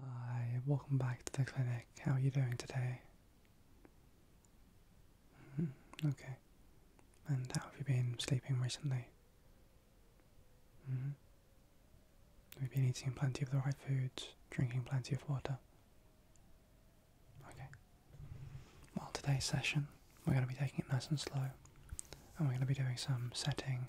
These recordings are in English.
Hi, welcome back to the clinic. How are you doing today? Mm-hmm, okay. And how have you been sleeping recently? we mm-hmm. Have been eating plenty of the right foods, drinking plenty of water? Okay. Well, today's session, we're going to be taking it nice and slow, and we're going to be doing some setting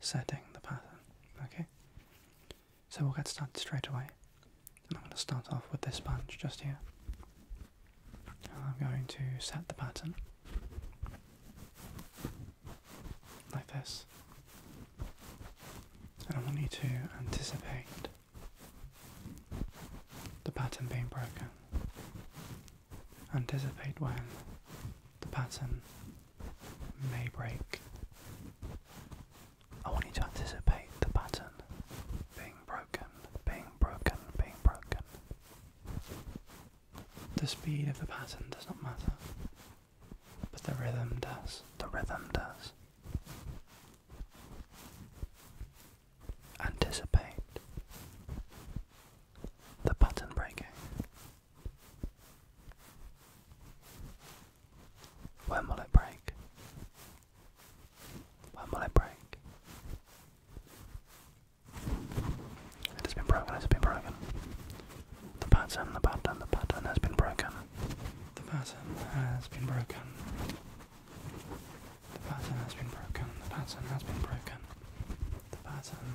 setting the pattern. Okay? So we'll get started straight away. And I'm going to start off with this sponge just here. I'm going to set the pattern like this. And I want you to anticipate the pattern being broken anticipate when the pattern may break. I want you to anticipate the pattern being broken, being broken, being broken. The speed of the pattern does not matter, but the rhythm does. The rhythm does. Anticipate the pattern breaking. When will it break? When will it break? It has been broken, it has been broken. The pattern, the pattern, the pattern has been broken. The pattern has been broken. The pattern has been broken. The pattern has been broken. The pattern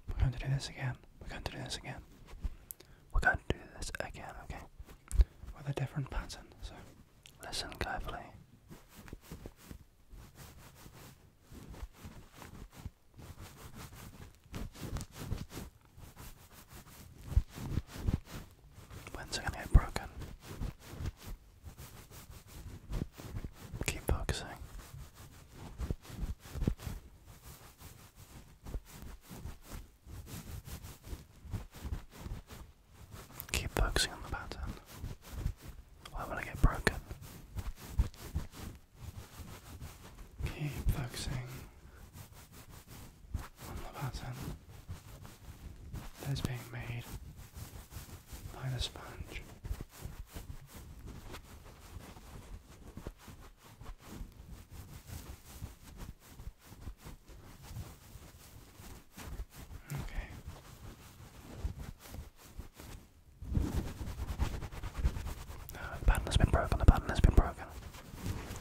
we're going to do this again. We're going to do this again. We're going to do this again, okay? With a different pattern, so listen carefully. When's it going to get broken? Keep focusing. Keep focusing on the pattern. Why would I get broken? Keep focusing on the pattern that is being made like a sponge. Okay. Uh, the pattern has been broken. The pattern has been broken.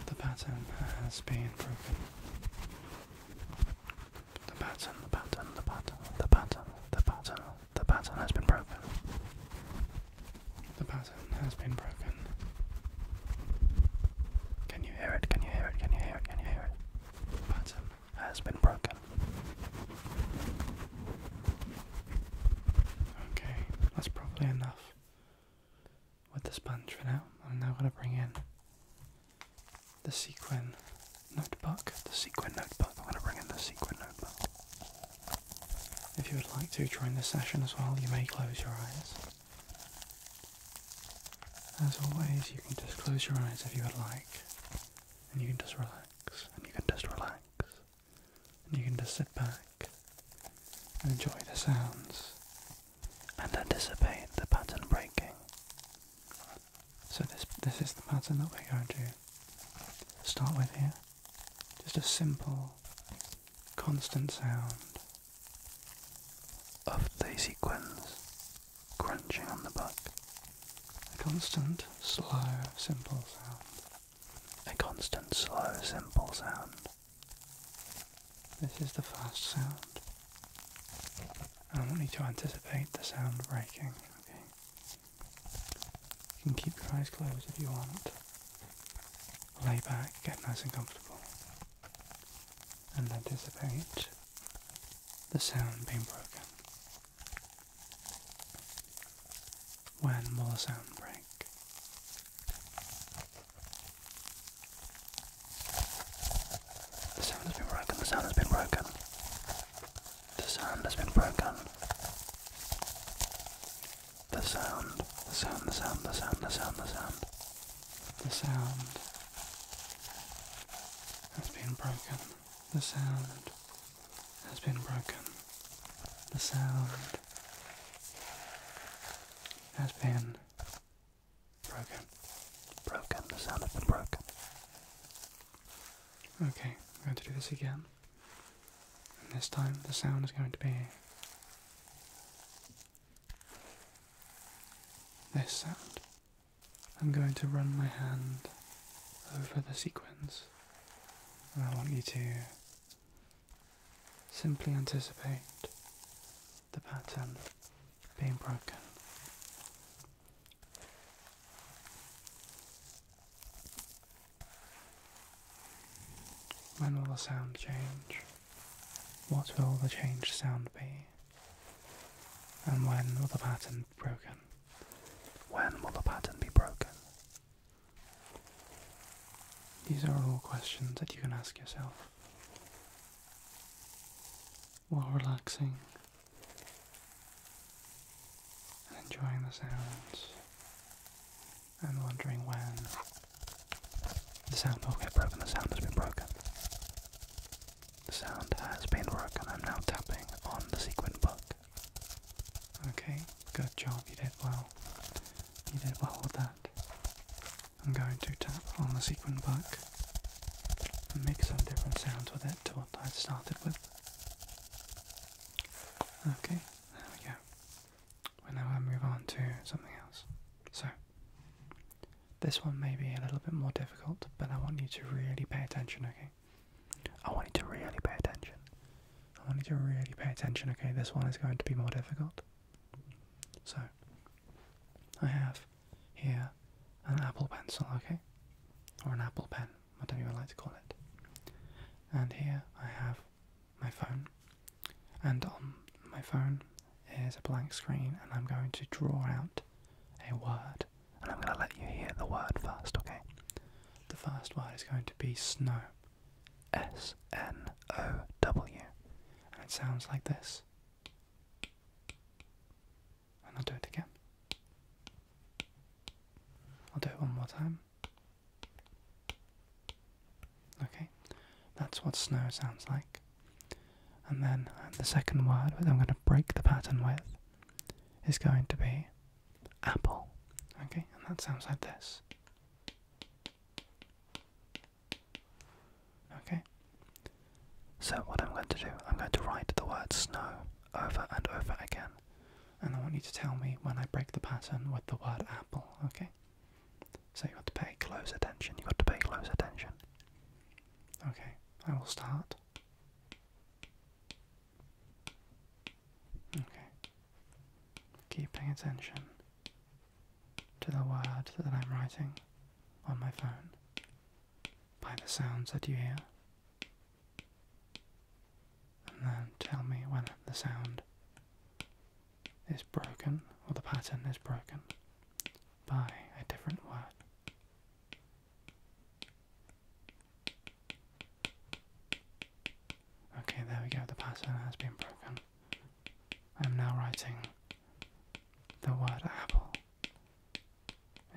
The pattern has been broken. The pattern, the pattern, the pattern, the pattern, the pattern, the pattern has been broken. The pattern has been broken. Can you hear it? Can you hear it? Can you hear it? Can you hear it? The pattern has been broken. Okay, that's probably enough with the sponge for now. I'm now going to bring in the sequin notebook, the sequin notebook. I'm going to bring in the sequin notebook. If you would like to join the session as well, you may close your eyes. As always, you can just close your eyes if you would like, and you can just relax, and you can just relax, and you can just sit back and enjoy the sounds and anticipate the pattern breaking. So this this is the pattern that we're going to start with here. Just a simple, constant sound of Daisy Quin's crunching on the buck. A constant, slow, simple sound. A constant, slow, simple sound. This is the fast sound. I want need to anticipate the sound breaking. Okay. You can keep your eyes closed if you want. Lay back, get nice and comfortable, and anticipate the sound being broken. When will the sound break? The sound has been broken, the sound has been broken. The sound has been broken. The sound, the sound, the sound, the sound, the sound, the sound. The sound has been broken. The sound has been broken. The sound has been broken. Broken. The sound has been broken. Okay, I'm going to do this again. And this time the sound is going to be this sound. I'm going to run my hand over the sequence. And I want you to simply anticipate the pattern being broken. When will the sound change? What will the changed sound be? And when will the pattern broken? When will the pattern be broken? These are all questions that you can ask yourself while relaxing and enjoying the sounds and wondering when the sound will get broken. The sound has been broken. The sound has been broken. I'm now tapping on the sequin book. Okay, good job. You did well. You did well with that. I'm going to tap on the sequin book and make some different sounds with it to what I started with. Okay, there we go. we now move on to something else. So, this one may be a little bit more difficult, but I want you to really pay attention, okay? I want you to really pay attention. I want you to really pay attention, okay? This one is going to be more difficult. So, I have here an Apple pencil, okay? Or an Apple pen whatever you would like to call it. And here I have my phone, and on my phone is a blank screen, and I'm going to draw out a word, and I'm going to let you hear the word first, okay? The first word is going to be snow. S N O W. And it sounds like this. And I'll do it again. I'll do it one more time. Okay, that's what snow sounds like. And then the second word that I'm going to break the pattern with is going to be apple. Okay, and that sounds like this. Okay, so what I'm going to do, I'm going to write the word snow over and over again. And I want you to tell me when I break the pattern with the word apple, okay? So you have to pay close attention, you have to pay close attention. Okay, I will start. Okay. Keep paying attention to the word that I'm writing on my phone by the sounds that you hear and then tell me when the sound is broken or the pattern is broken by a different word. Okay, there we go, the pattern has been broken. I'm now writing the word apple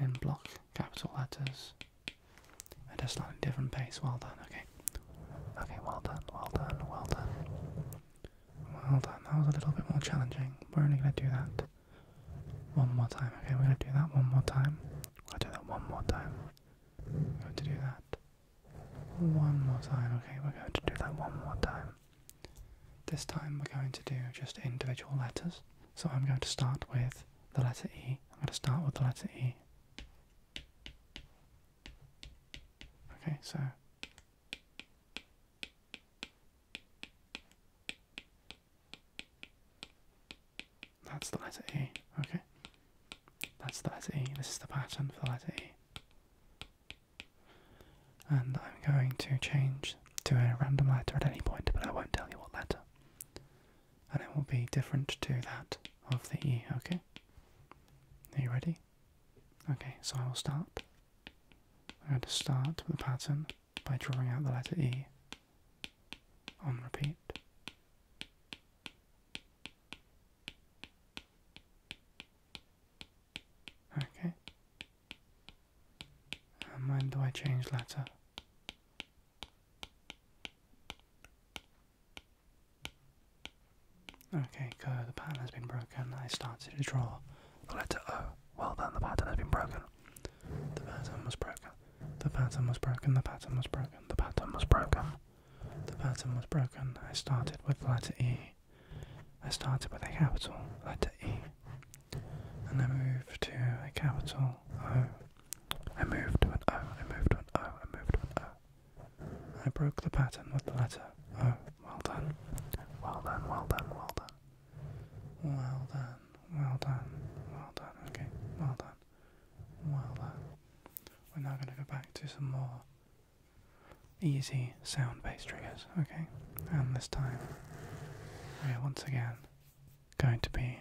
in block capital letters at a slightly different pace. Well done, okay. Okay, well done, well done, well done. Well done, that was a little bit more challenging. We're only going to do that one more time, okay? We're going to do that one more time. We're going to do that one more time. We're going to do that one more time, okay? We're going to do that one more time. This time we're going to do just individual letters. So I'm going to start with the letter E. I'm going to start with the letter E. Okay, so that's the letter A. Okay, that's the letter E. This is the pattern for the letter E. And I'm going to change to a random letter at any point, but I won't tell you what letter and it will be different to that of the E, okay? Are you ready? Okay, so I will start. I'm going to start the pattern by drawing out the letter E on repeat. Okay. And when do I change letter? Okay, good. The pattern has been broken. I started to draw the letter O. Well then, the pattern has been broken. The pattern was broken. The pattern was broken. The pattern was broken. The pattern was broken. The pattern was broken. I started with the letter E. I started with a capital letter E. And I moved to a capital O. I moved to an O, I moved to an O, I moved to an O. I broke the pattern with the letter O. Well done. Well done, well done, well done. Well done, well done, well done, okay, well done, well done. We're now going to go back to some more easy sound based triggers, okay? And this time, we are once again going to be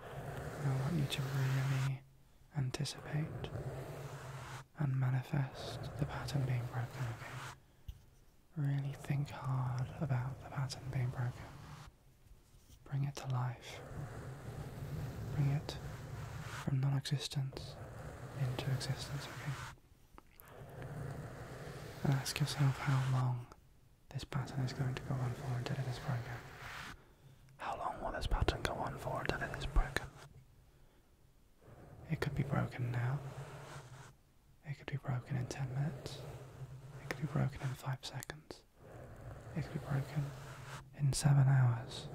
I want you to really anticipate and manifest the pattern being broken, okay? Really think hard about the pattern being broken. Bring it to life. Bring it from non existence into existence, okay? And ask yourself how long this pattern is going to go on for until it is broken. How long will this pattern go on for until it is broken? It could be broken now. It could be broken in 10 minutes. It could be broken in 5 seconds. It could be broken in 7 hours.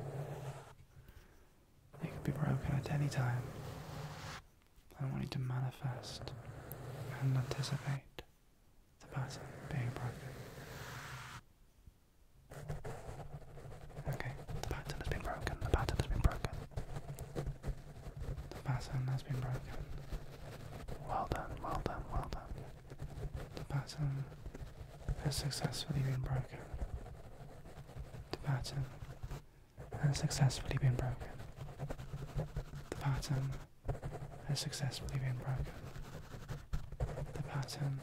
It could be broken at any time. I want you to manifest and anticipate the person being broken. Okay, the pattern has been broken, the pattern has been broken. The pattern has been broken. Well done, well done, well done. The pattern has successfully been broken. The pattern has successfully been broken. The pattern has successfully been broken. The pattern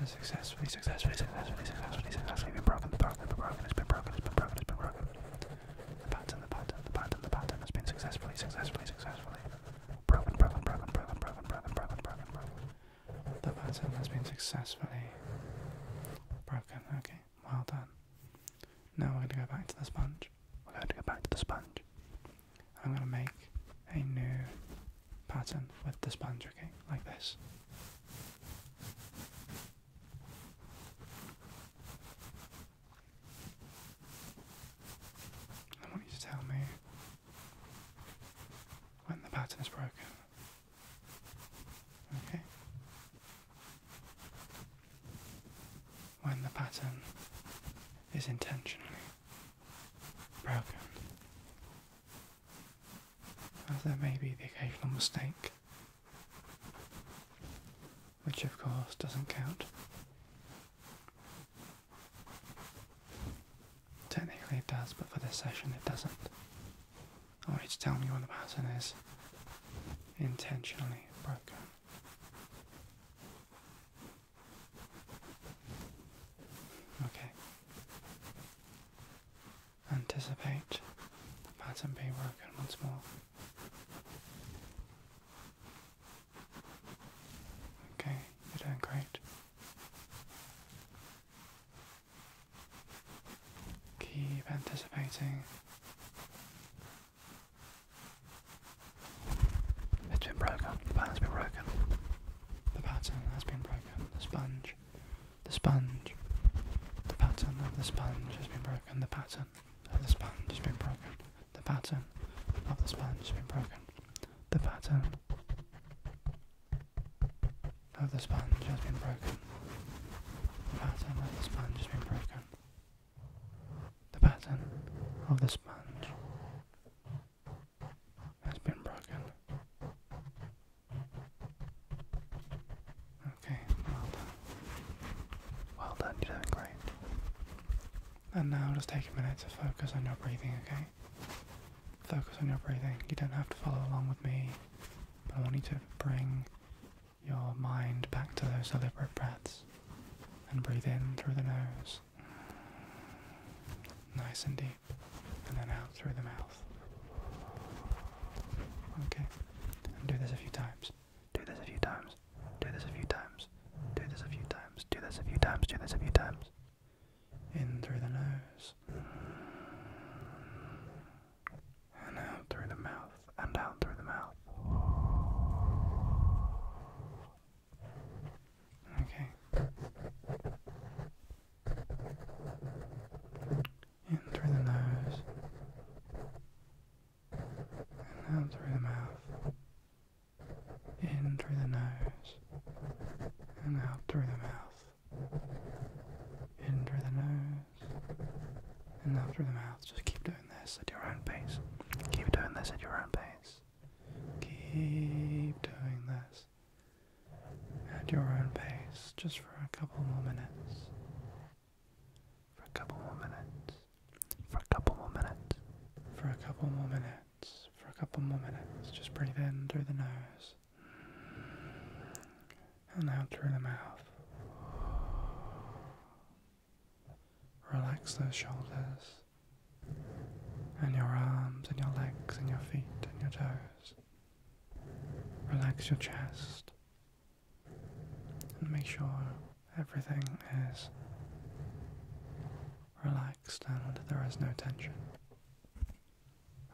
has successfully, successfully, successfully, successfully, successfully been broken. The pattern has been broken. broken. The pattern, the pattern, the pattern, has been successfully, successfully, successfully broken, broken, broken, broken, broken, broken, broken, broken. The pattern has been successfully broken. Okay, well done. Now we're going to go back to the sponge. We're going to go back to the sponge. I'm going to make a new pattern with the sponge, okay, like this. I want you to tell me when the pattern is broken. Okay? When the pattern is intentionally broken. As there may be the occasional mistake, which of course doesn't count. Technically it does, but for this session it doesn't. I want to tell me when the pattern is intentionally broken. Okay. Anticipate pattern being broken once more. Okay, you're doing great. Keep anticipating. It's been broken. The pattern's been broken. The pattern has been broken. The sponge. The sponge. The pattern of the sponge has been broken. The pattern of the sponge has been broken. The pattern of the sponge has been broken. The pattern of the sponge has been broken. The pattern of the sponge has been broken. The pattern of the sponge has been broken. Okay, well done. Well done, you're doing great. And now just take a minute to focus on your breathing, okay? Focus on your breathing. You don't have to follow along with me, but I want you to bring your mind back to those deliberate breaths and breathe in through the nose Nice and deep. And then out through the mouth. Okay. And do this a few times. Do this a few times. Do this a few times. Do this a few times. Do this a few times. Do this a few times. In through the nose. And out through the mouth. And out through the mouth. Okay. In through the nose. And out through the mouth. In through the nose. And out through the mouth. In through the nose. And out through the mouth. Just keep doing this at your own pace. Keep doing this at your own pace. Keep doing this at your own pace, just for a couple more minutes. For a couple more minutes. For a couple more minutes. For a couple more minutes. For a couple more minutes. Just breathe in through the nose. And out through the mouth. Relax those shoulders and your arms and your legs and your feet and your toes. Relax your chest and make sure everything is relaxed and there is no tension.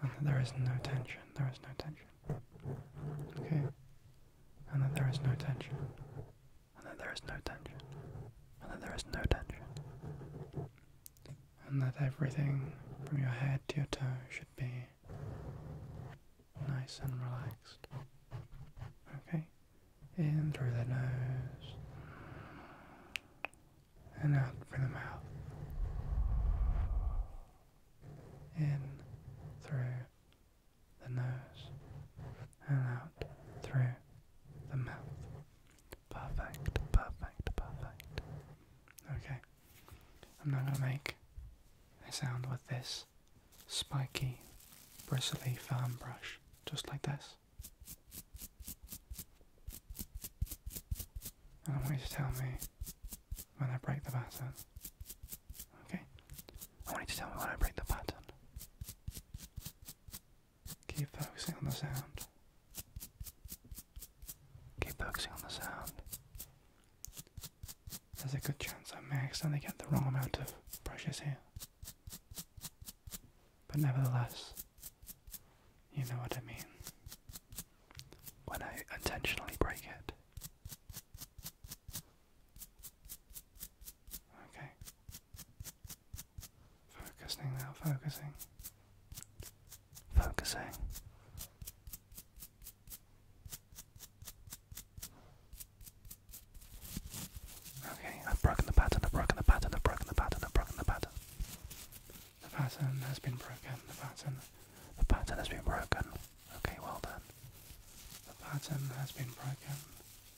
And that there is no tension, there is no tension. Okay? And that there is no tension and that there is no tension, and that there is no tension, and that everything from your head to your toe should be nice and relaxed. Okay? In through the nose, and out through the mouth. In through the nose and out through the mouth. Perfect, perfect, perfect. Okay. I'm not going to make a sound with this spiky, bristly fan brush, just like this. And I want you to tell me when I break the pattern. Okay? I want you to tell me when I break the pattern. Keep focusing on the sound. Keep focusing on the sound. There's a good chance I may accidentally get the wrong amount of brushes here. But nevertheless, you know what I mean. When I intentionally break it. Okay. Focusing now, focusing. Focusing. Okay, I've broken the pattern, I've broken the pattern, I've broken the pattern, I've broken the pattern. The pattern has been broken, the pattern. The pattern has been broken. Okay, well done. The pattern has been broken.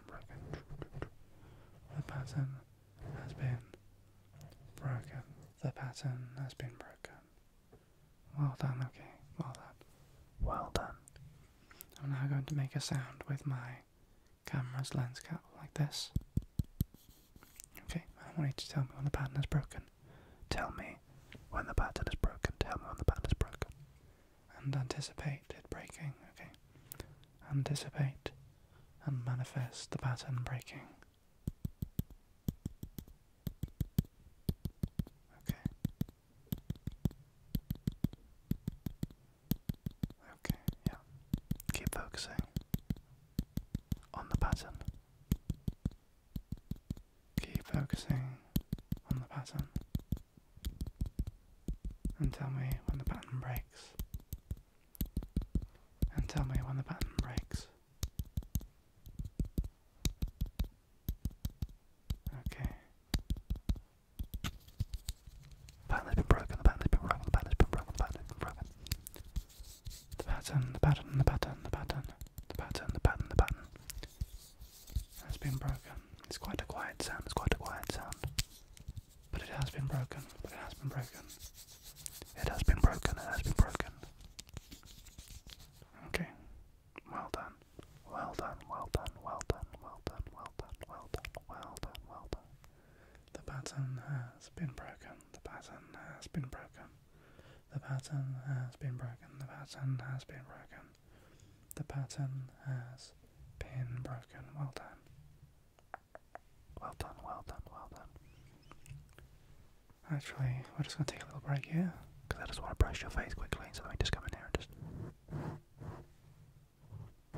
the pattern has been broken. The pattern has been broken. Well done, okay. Well done. Well done. I'm now going to make a sound with my camera's lens cap like this. Okay, I want you to tell me when the pattern is broken. Tell me when the pattern is broken. Tell me when the pattern is broken and anticipate it breaking. Okay. Anticipate and manifest the pattern breaking. Okay. Okay, yeah. Keep focusing on the pattern. Keep focusing on the pattern and tell me when the pattern breaks. And tell me when the pattern breaks. Okay. The pattern broken, the pattern broken, the pattern broken, the pattern broken. The pattern, the pattern, the pattern, the pattern, the pattern, the pattern, the pattern has been broken it's quite a quiet sound, it's quite a quiet sound. But it has been broken, but it has been broken. It has been broken, it has been broken. Okay. Well done. Well done, well done, well done, well done, well done, well done, well done, well done. The pattern has been broken. The pattern has been broken. The pattern has been broken. The pattern has been broken. The pattern has been broken. Well done. Well done, well done, well done. Actually, we're just going to take a little break here, because I just want to brush your face quickly, so let me just come in here and just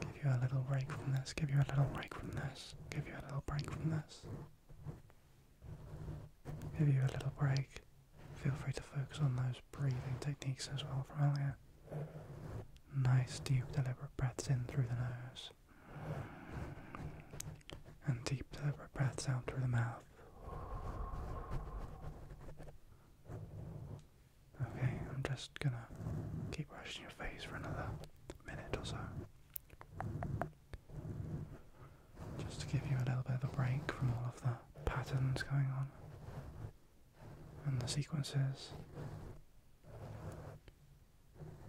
give you a little break from this, give you a little break from this, give you a little break from this, give you a little break. Feel free to focus on those breathing techniques as well from earlier. Nice, deep, deliberate breaths in through the nose, and deep, deliberate breaths out through the mouth. Okay, I'm just gonna keep brushing your face for another minute or so. Just to give you a little bit of a break from all of the patterns going on and the sequences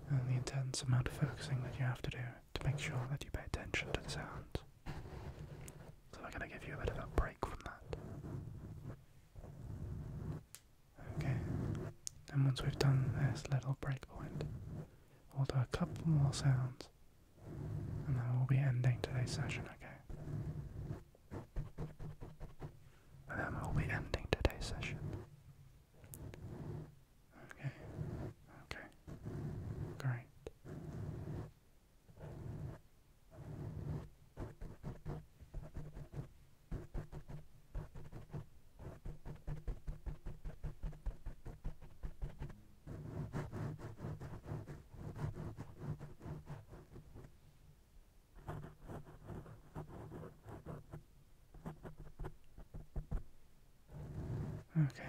and the intense amount of focusing that you have to do to make sure that you pay attention to the sounds. So I'm going to give you a bit of a break from that. Okay, and once we've done this little break point, we'll do a couple more sounds and then we'll be ending today's session, okay? And then we'll be ending today's session. Okay, okay, great. Okay.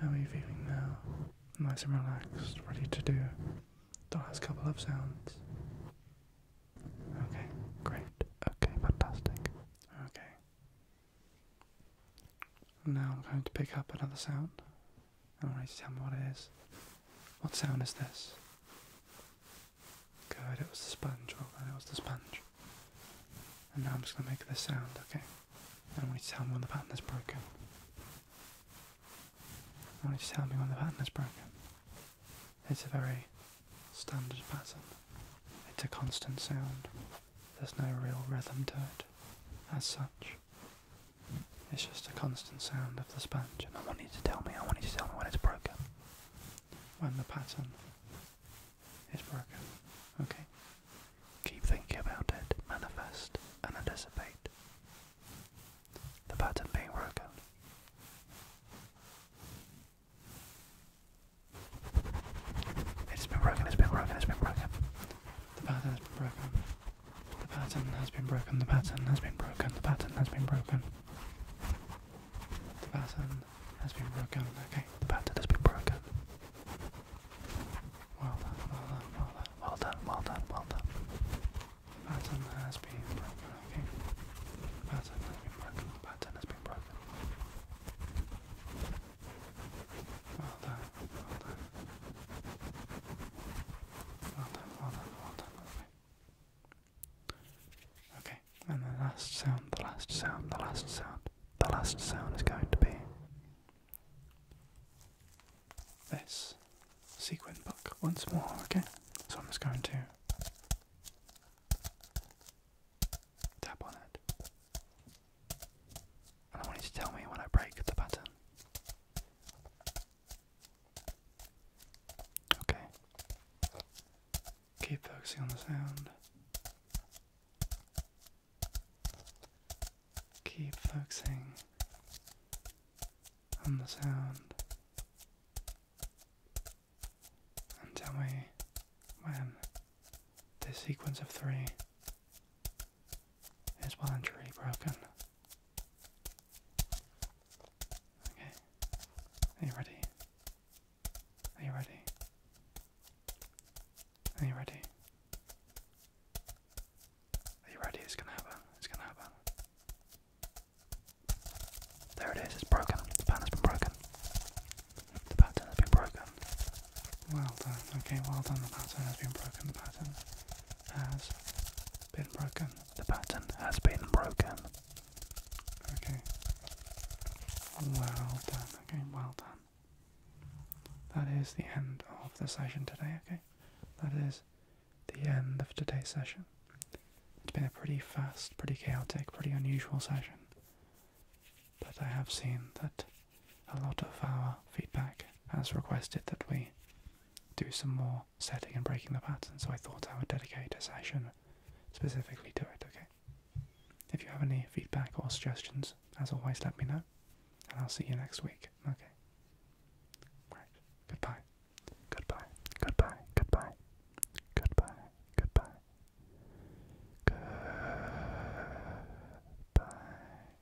How are you feeling now? Nice and relaxed, ready to do the last couple of sounds. Okay, great. Okay, fantastic. Okay. Now I'm going to pick up another sound. I want you to tell me what it is. What sound is this? Good, it was the sponge. Well then, it was the sponge. And now I'm just going to make this sound, okay? I want you to tell me when the pattern is broken. I want you to tell me when the pattern is broken. It's a very standard pattern. It's a constant sound. There's no real rhythm to it, as such. It's just a constant sound of the sponge, and I want you to tell me, I want to tell me when it's broken. When the pattern is broken. Okay? Keep thinking about it, manifest, and anticipate the pattern being broken. It's been broken, it's been broken, it's been broken. The pattern has been broken. The pattern has been broken, the pattern has been broken, the pattern has been broken. The pattern has been broken, okay, the pattern has been broken. Well done, well done, well done, well done, well done, well done. The pattern has been broken, okay. The pattern has been broken, the pattern has been broken. Well done, well done. Okay, and the last sound, the last sound, the last sound, the last sound is going to be this sequin book once more, okay? So I'm just going to tap on it. And I want you to tell me when I break the pattern. Okay. Keep focusing on the sound. Keep focusing on the sound and tell me when this sequence of three is truly broken. Okay. Are you ready? Are you ready? Are you ready? Are you ready? It's gonna happen. It's gonna happen. There it is. It's broken. The pattern has been broken. The pattern has been broken. Well done. Okay, well done. The pattern has been broken. The pattern has been broken. The pattern has been broken. Okay. Well done. Okay, well done. That is the end of the session today, okay? That is the end of today's session. It's been a pretty fast, pretty chaotic, pretty unusual session. But I have seen that a lot of our feedback has requested that we do some more setting and breaking the pattern. So I thought I would dedicate a session specifically to it. Okay. If you have any feedback or suggestions, as always, let me know, and I'll see you next week. Okay. Right. Goodbye. Goodbye. Goodbye. Goodbye. Goodbye. Goodbye. Goodbye.